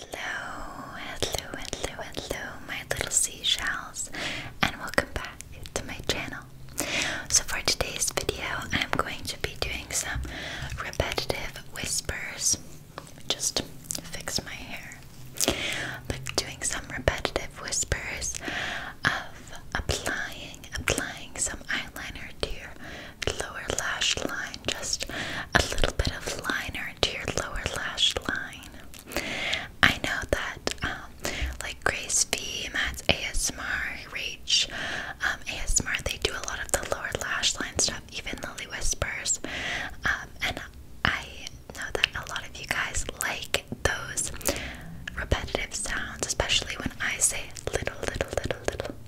Hello, hello, hello, hello, my little seashells, and welcome back to my channel. So, for today's video, I'm going to be doing some repetitive whispers. Just fix my hair, but doing some repetitive whispers of applying, applying some eyeliner to your lower lash line just a little bit of liner to your lower lash line. I know that, um, like Grace V, that's ASMR, Reach, um, ASMR, they do a lot of the lower lash line stuff, even Lily Whispers, um, and I know that a lot of you guys like those repetitive sounds, especially when I say little, little, little, little.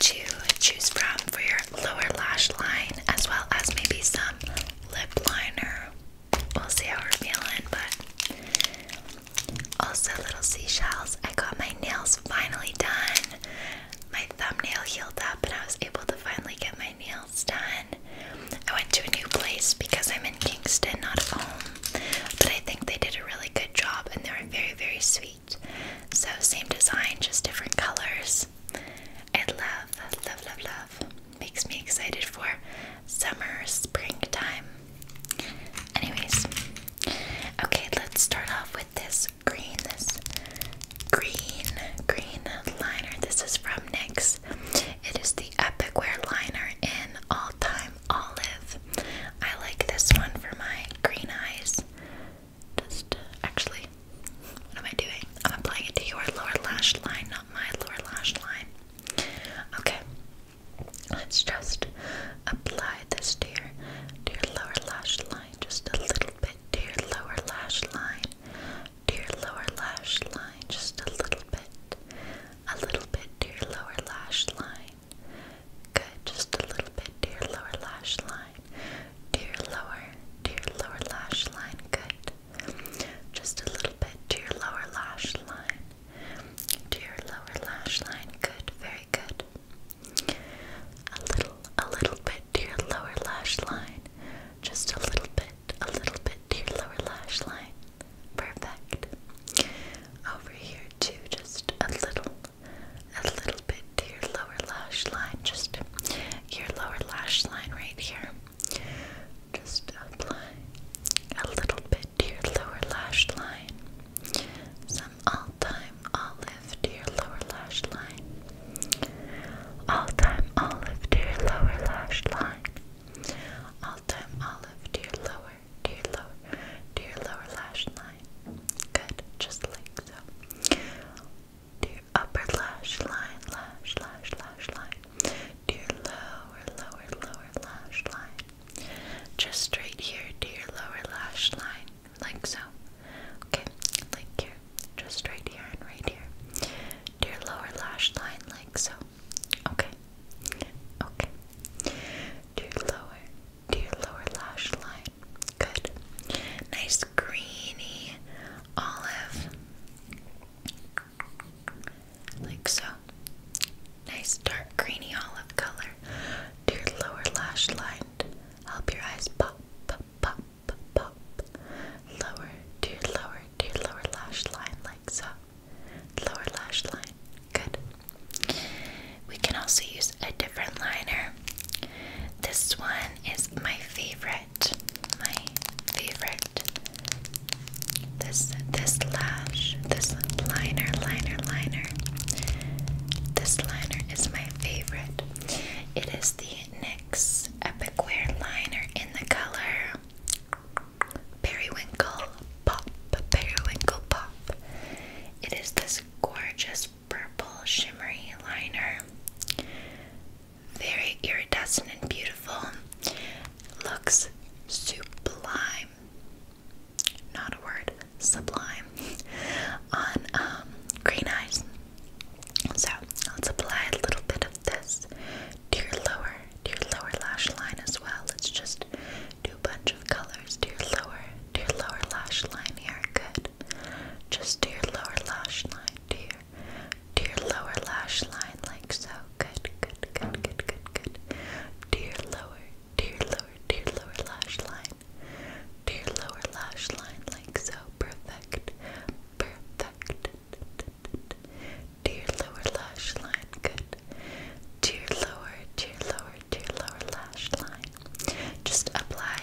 to choose from for your lower lash line, as well as maybe some lip liner. We'll see how we're feeling, but also little seashells. I got my nails finally done. My thumbnail healed up, and I was able to finally get my nails done. I went to a new place because I'm in Kingston, not home. But I think they did a really good job, and they were very, very sweet. So same design, just different colors. I love, love, love, love. Makes me excited for summer, springtime. Anyways, okay, let's start off with this green, this green, green liner. This is from NYX. It is the Epic Wear liner in all time olive. I like this one for my green eyes. Just uh, actually, what am I doing? I'm applying it to your lower lash line, not my lower lash line. Okay, let's just apply this to your to your lower lash line, just a little bit to your lower lash line, to your lower lash line, just a little bit, a little bit to your lower lash line. Good, just a little bit to your lower lash line. To lower, to lower lash line. Good. Just a little bit to lower lash line. To lower lash line. Good, very good. A little, a little bit to lower lash line. Just a little bit, a little bit to your lower lash line. Perfect. Over here too, just a little, a little bit to your lower lash line, just your lower lash line right here. Just apply a little bit to your lower lash line. Some all time olive to your lower lash line. All time olive to your lower lash line. All time olive to your lower, to your lower, to your lower lash line. Good, just like so to your upper lash line, lash, lash, lash line, to your lower, lower, lower lash line. Just straight here to your lower lash line, like so. Okay, like here, just right here and right here. To your lower lash line, like so. Okay, okay. To lower, to your lower lash line. Good. Nice greeny olive. Like so. Nice dark greeny olive color to your lower lash line. Help your eyes pop, pop, pop, pop. Lower to your lower to your lower lash line, like so. Lower lash line. Good. We can also use a different liner. This one is my favorite. My favorite. This this lash, this liner, liner, liner. This liner is my favorite. It is the NYX Epic Wear liner in the color Periwinkle Pop. Periwinkle Pop. It is this gorgeous purple shimmery liner. Very iridescent and beautiful. Looks sublime. Not a word, sublime. On um, green eyes. So let's apply a little bit of this to your lower, to your lower lash line as well. Let's just new bunch of colors to lower to lower lash line here. Good. Just dear lower lash line, dear, dear lower lash line like so. Good, good, good, good, good, good. To lower, dear lower, dear lower lash line. To lower lash line like so. Perfect. Perfect. Dear lower lash line. Good. Dear lower, dear lower, to your lower lash line. Just apply,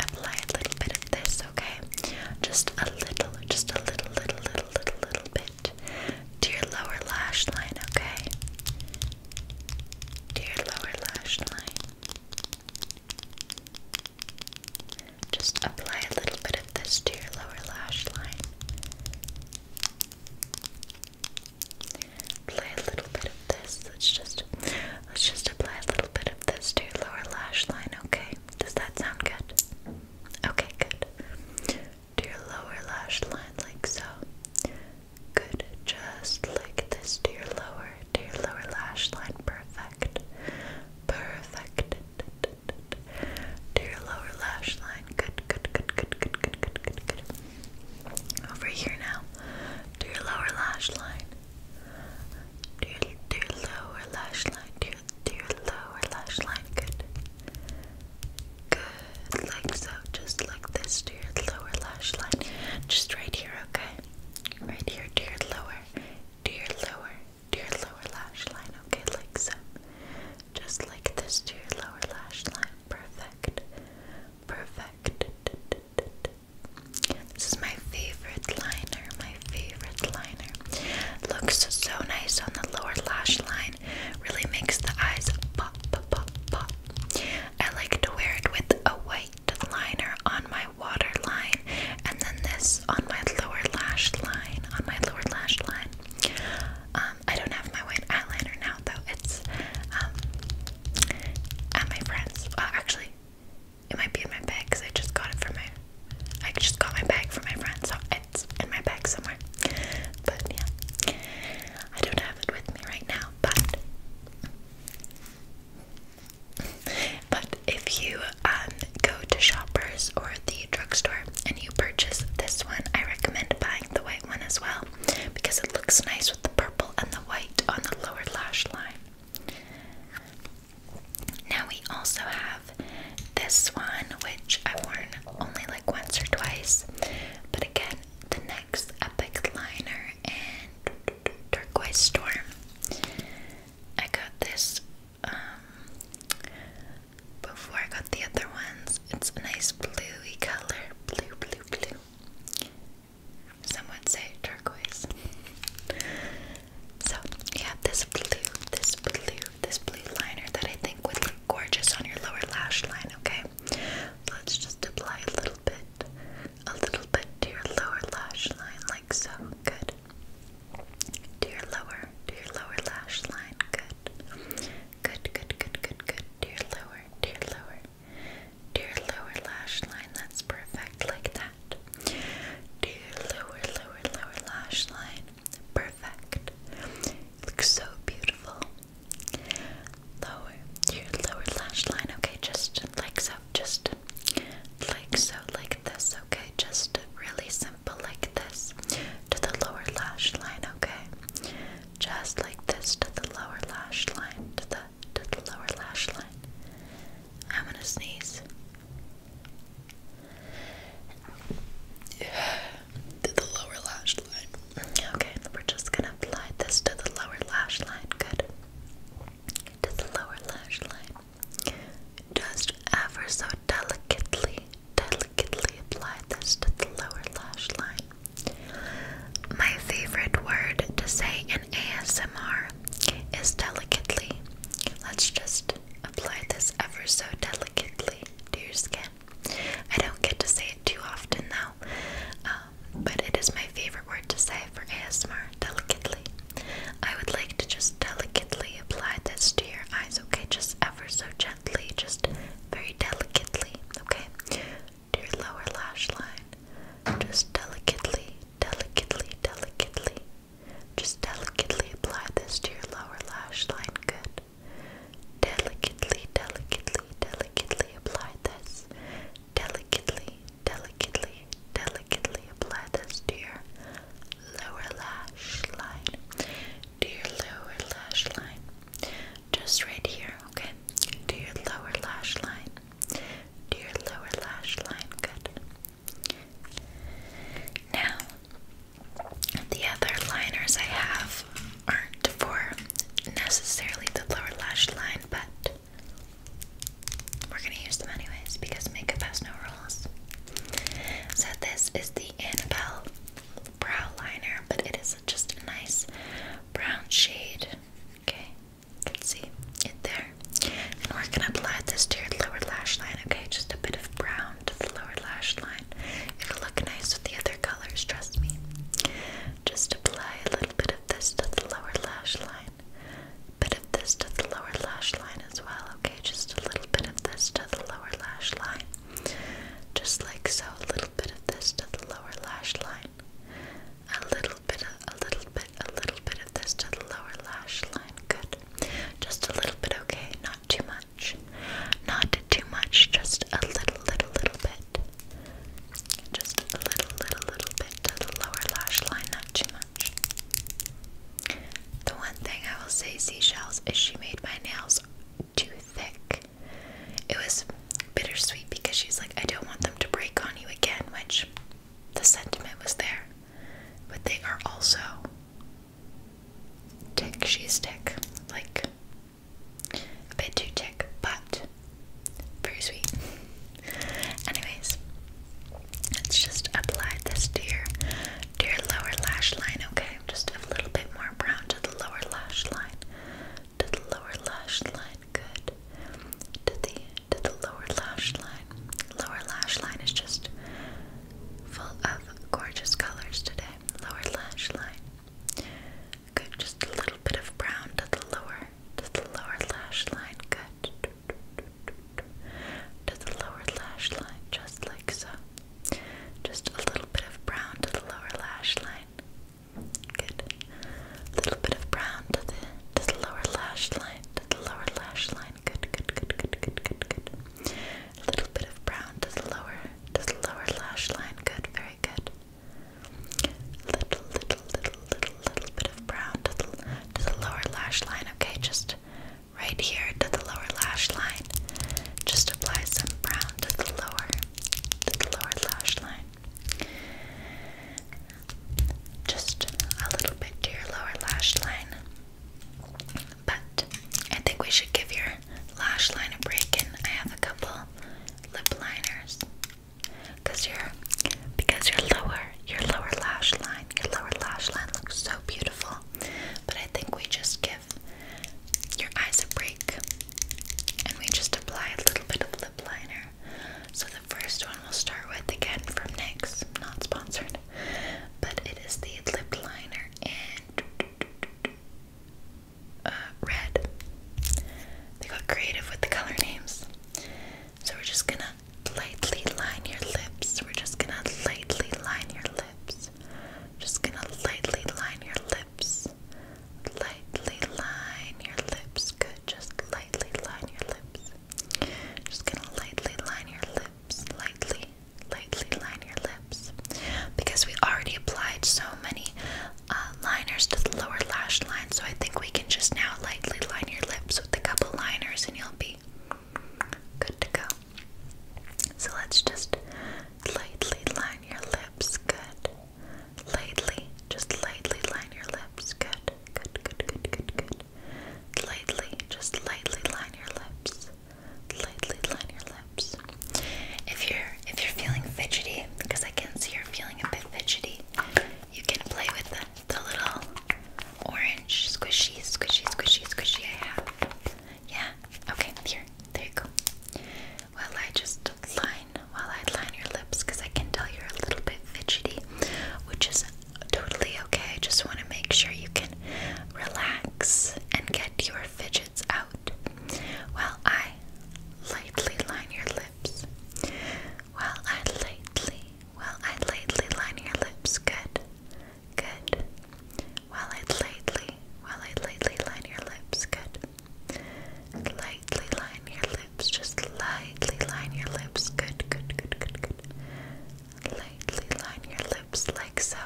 apply a little bit of this, okay? Just a little, just a little, little, little, little, little bit to your lower lash line, okay? To your lower lash line. Just apply a little bit of this to your lower lash line. Play a little bit of this. Let's just let's just apply a little bit of this to your lower lash line, okay? Does that sound good? Okay, good. To your lower lash line like so. Good. Just like this to your lower, to your lower lash line. Perfect. Perfect. To your lower lash line. good, good, good, good, good, good, good, good. Over here now, to your lower lash line. To your, to your lower lash line. To your, to your lower lash line. Good. Good. Like so. Just like this to your lower lash line. Just right here, okay? Right here to your lower. To your lower. To your lower lash line. Okay, like so. Just like this to your lower lash line. Perfect perfect. This is my favorite liner, my favorite liner. Looks so nice on the lower lash line. Really makes the eyes pop, pop, pop, pop. I like to wear it with a white liner on my waterline and then this on my lower lash line, on my lower lash line. Um, I don't have my white eyeliner now though. It's um, at my friend's. Uh, actually, it might be in my bag because I just got it from my. I just got my bag from my friend, so it's in my bag somewhere. But yeah, I don't have it with me right now. But but if you um go to Shoppers or the drugstore and you purchase this one, I recommend buying the white one as well because it looks nice with the purple and the white on the lower lash line. Now we also have this one, which I've worn only like once or twice, but again, the next Epic Liner and Turquoise Storm. I got this um, before I got the other ones. It's a nice bluey color, blue, blue, blue. Some would say turquoise. So you have this blue, this blue, this blue liner that I think would look gorgeous on your lower lash line, okay? Let's just apply a little bit, a little bit to your lower lash line, like so. Good. To your lower, to your lower lash line. Good. Good, good, good, good, good. To your lower, to your lower to lower lash line. That's perfect, like that. To lower, lower, lower lash line. Perfect. looks so beautiful. Lower, your lower lash line. Okay, just like so. Just like so, like this. Okay, just really simple, like this. To the lower lash line. Okay, just like this to the lower lash line, to the to the lower lash line. I'm gonna sneeze. To the lower lash line. Okay, we're just gonna apply this to the lower lash line. Good. To the lower lash line. Just ever so delicately, delicately apply this to the lower lash line. My favorite word to say in ASMR is delicately. Let's just apply this ever so delicately to your skin. I don't get to say it too often now, um, but it is my favorite word to say for ASMR delicately. I would like to just delicately apply this to your eyes, okay? Just ever so gently, just very delicately, okay? to your lower lash line. Just delicately, delicately, delicately. Just delicately apply this to your lower lash line. Good. Delicately, delicately, delicately apply this. Delicately, delicately, delicately apply this to your lower lash line. To your lower lash line just right here, okay? Do your lower lash line. Do your lower lash line, good. Now, the other liners I have aren't for necessarily the lower lash line, but we're gonna use them anyways because makeup has no rules. So, this is the Annabelle brow liner, but it is just a nice brown shade. Okay, let's see in there. And we're gonna apply this to your lower lash line, okay? Just a bit of brown to the lower lash line. It'll look nice with the other colors, trust me. Just apply a little bit of this to the lower lash line. A bit of this to the lower lash line as well, okay? Just a little bit of this to the lower lash line. Just like so, a little bit of this to the lower lash line. A little bit, a little bit, a little bit of this to the lower lash line. Good. Just a little bit, okay? Not too much. Not too much, just a little, little, little bit. Just a little, little, little bit to the lower lash line, not too much. The one thing I will say, Seashells, is she made my nails too thick. It was bittersweet because she's like, I don't want them to break on you again, which the sentiment was there. But they are also tick, she's thick, Like a bit too thick, but very sweet. Anyways, let's just apply this to your to your lower lash line, okay? Just a little bit more brown to the lower lash line to the lower lash line. Good. To the to the lower lash line. Lower lash line is just full of gorgeous colors today. Lower lash line. Good. Just a little bit of brown to the lower to the lower lash line. Good. To the lower lash line, just like so. Just a little bit of brown to the lower lash line. Good. little bit of brown to the to the lower lash line. To the lower lash line. Good, good, good, good, good, good, good. A little bit of brown to the lower to the lower lash line. Good, very good. Little, little, little, little, little bit of brown to the to the lower lash line. Okay, just right here to the lower lash line. Just apply some brown to the lower to lower lash line. Just a little bit to your lower lash line. But I think we should give your lash line a break, and I have a couple lip liners. Cause your because your lower your lower lash line your lower lash line looks so beautiful, but I think we just give your eyes a break. And we just apply a little bit of lip liner. So the first one we'll start with again from NYX, not sponsored, but it is the lip liner in uh, red. They got creative with the color names. So we're just gonna lightly line your lips. We're just gonna lightly line your lips. Just gonna lightly line your lips. Lightly line your lips. Good. Just lightly line your lips. Just gonna lightly line your lips. Lightly, lightly line your lips. Because we already applied so many uh, liners to the lower lash line, so I think we can just now lightly line your lips with a couple liners and you'll be good to go. So let's just lightly line your lips lips. Good. Lightly, just lightly line your lips. Good. Good, good, good, good, good. Lightly, just lightly line your lips. Lightly line your lips. If you're if you're feeling fidgety, because I can see you're feeling a bit fidgety, you can play with the, little orange squishy, squishy, squishy, squishy I have. Yeah. Okay. Here. There you go. While I just line, while I line your lips, because I can tell you're a little bit fidgety, which is totally okay. I just want to make sure you can relax and get your fidgets out. While I lightly line your lips. While I lightly, while I lightly line your lips. Good, good, while I lightly, while I lightly line your lips, good. Lightly line your lips, just lightly line your lips, good, good, good, good, good. Lightly line your lips like so.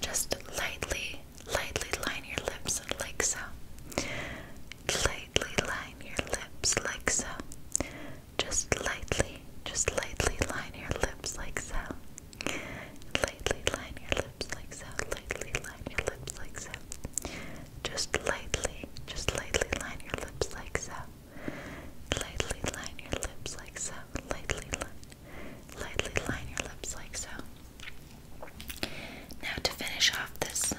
Just lightly, lightly line your lips like so. Lightly line your lips like so. Just lightly, just lightly line your lips like so. Lightly line your lips like so. Lightly line your lips like so. Just lightly, just lightly line your lips like so. Lightly line your lips like so. Lightly line, lightly line your lips like so. Now to finish off this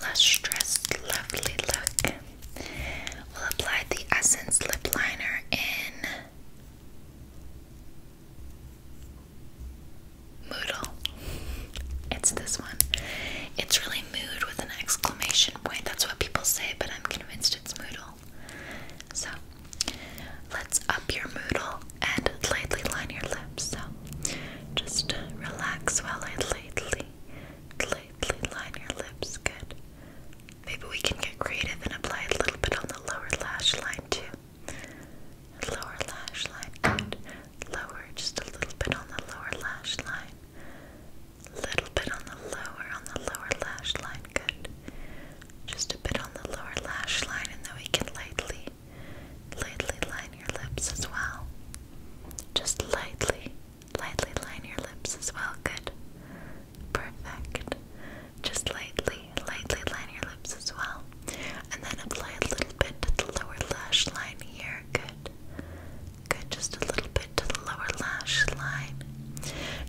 lustrous, lovely look, we'll apply the Essence lip liner in Moodle. It's this one. It's really mood with an exclamation point. That's what people say, but I'm convinced it's Moodle. So, let's up your Moodle and lightly line your lips. So, just relax while I lightly, lightly line your lips. Good. Maybe we can get creative and apply a little bit on the lower lash line too. Lower lash line, good. Lower, just a little bit on the lower lash line. Little bit on the lower, on the lower lash line, good. Just a bit on the lower lash line, and then we can lightly, lightly line your lips as well. Just lightly, lightly line your lips as well, good. Perfect. Just lightly, lightly line your lips as well. And then apply a little bit to the lower lash line here. Good. Good. Just a little bit to the lower lash line.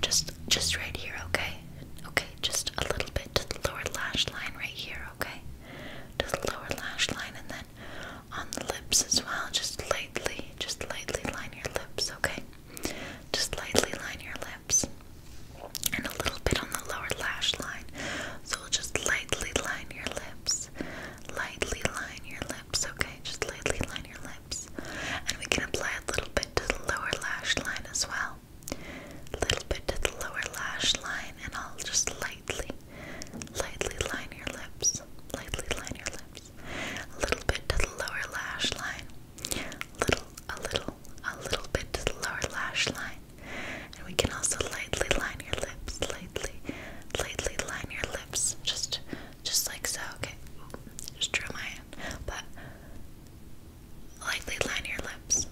Just just right here, okay? Okay, just a little bit to the lower lash line right here, okay? To the lower lash line and then on the lips as well. Just lightly, just lightly line your lips, okay? Just lightly line your lips and a little bit on the lower lash line. So we'll just lightly line your lips. Lightly line your lips, okay? Just lightly line your lips. And we can apply a little bit to the lower lash line as well. A little bit to the lower lash line, and I'll just lightly, lightly line your lips. Lightly line your lips. A little bit to the lower lash line little, a little, a little bit to the lower lash line. And we can also lightly line your lips, lightly, lightly line your lips, just, just like so. Okay, just drew my hand, but lightly line your lips.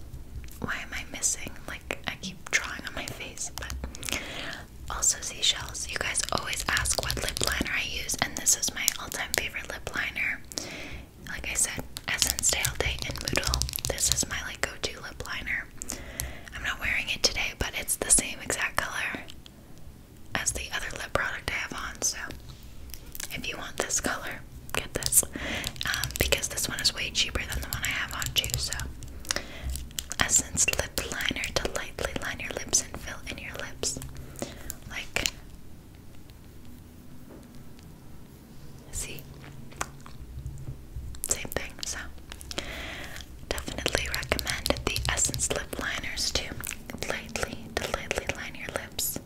Why am I missing? Like I keep drawing on my face, but also seashells. You guys always ask what lip liner I use, and this is my all-time favorite lip liner like I said, Essence Day All Day in Moodle. This is my like go-to lip liner. I'm not wearing it today, but it's the same exact color as the other lip product I have on. So if you want this color, get this um, because this one is way cheaper than the one I have on too. So Essence Lip Liner to lightly line your lips and fill in your lips, like See? Same thing, so definitely recommend the Essence lip liners to lightly, to lightly line your lips,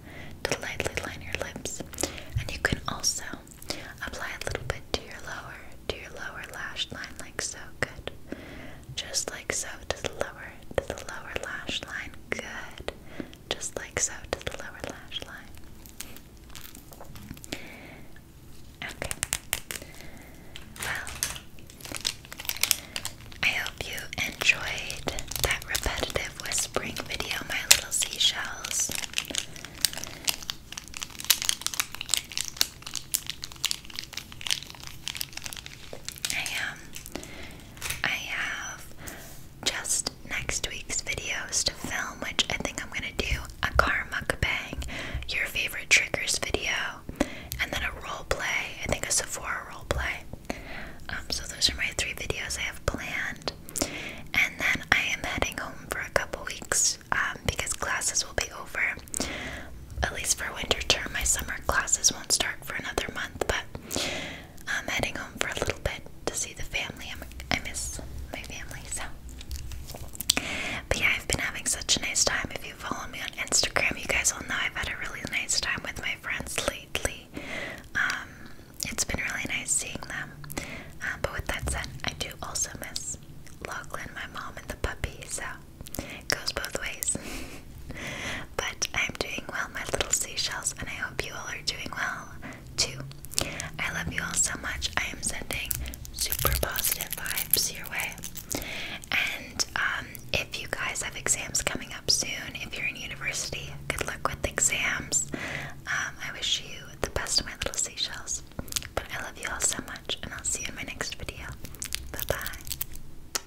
to lightly line your lips. And you can also apply a little bit to your lower, to your lower lash line like so. Good. Just like so to the lower, to the lower lash line. Good just like so to the lower lash line. Okay. Well, I hope you enjoyed that repetitive whispering video, my little seashells. I Um, I have just next week's videos to film, which I think I'm gonna do a car bang, your favorite triggers video, and then a role play. I think a Sephora role play. Um, so those are my three videos I have planned, and then I am heading home for a couple weeks um, because classes will be over. At least for winter term, my summer classes won't start for another month, but I'm heading home for a little bit to see the family. i miss my family, so. But yeah, I've been having such a nice time. If you follow me on Instagram, you guys will know I've had a really nice time with my friends lately. Um, it's been really nice seeing them. Uh, but with that said, I do also miss Lachlan, my mom, and the puppy, so it goes both ways. But I'm doing well, my little seashells, and I hope you all are doing well too. I love you all so much. I am sending super positive vibes your way. And um, if you guys have exams coming up soon, if you're in university, good luck with the exams. Um, I wish you the best of my little seashells. But I love you all so much, and I'll see you in my next video. Bye bye.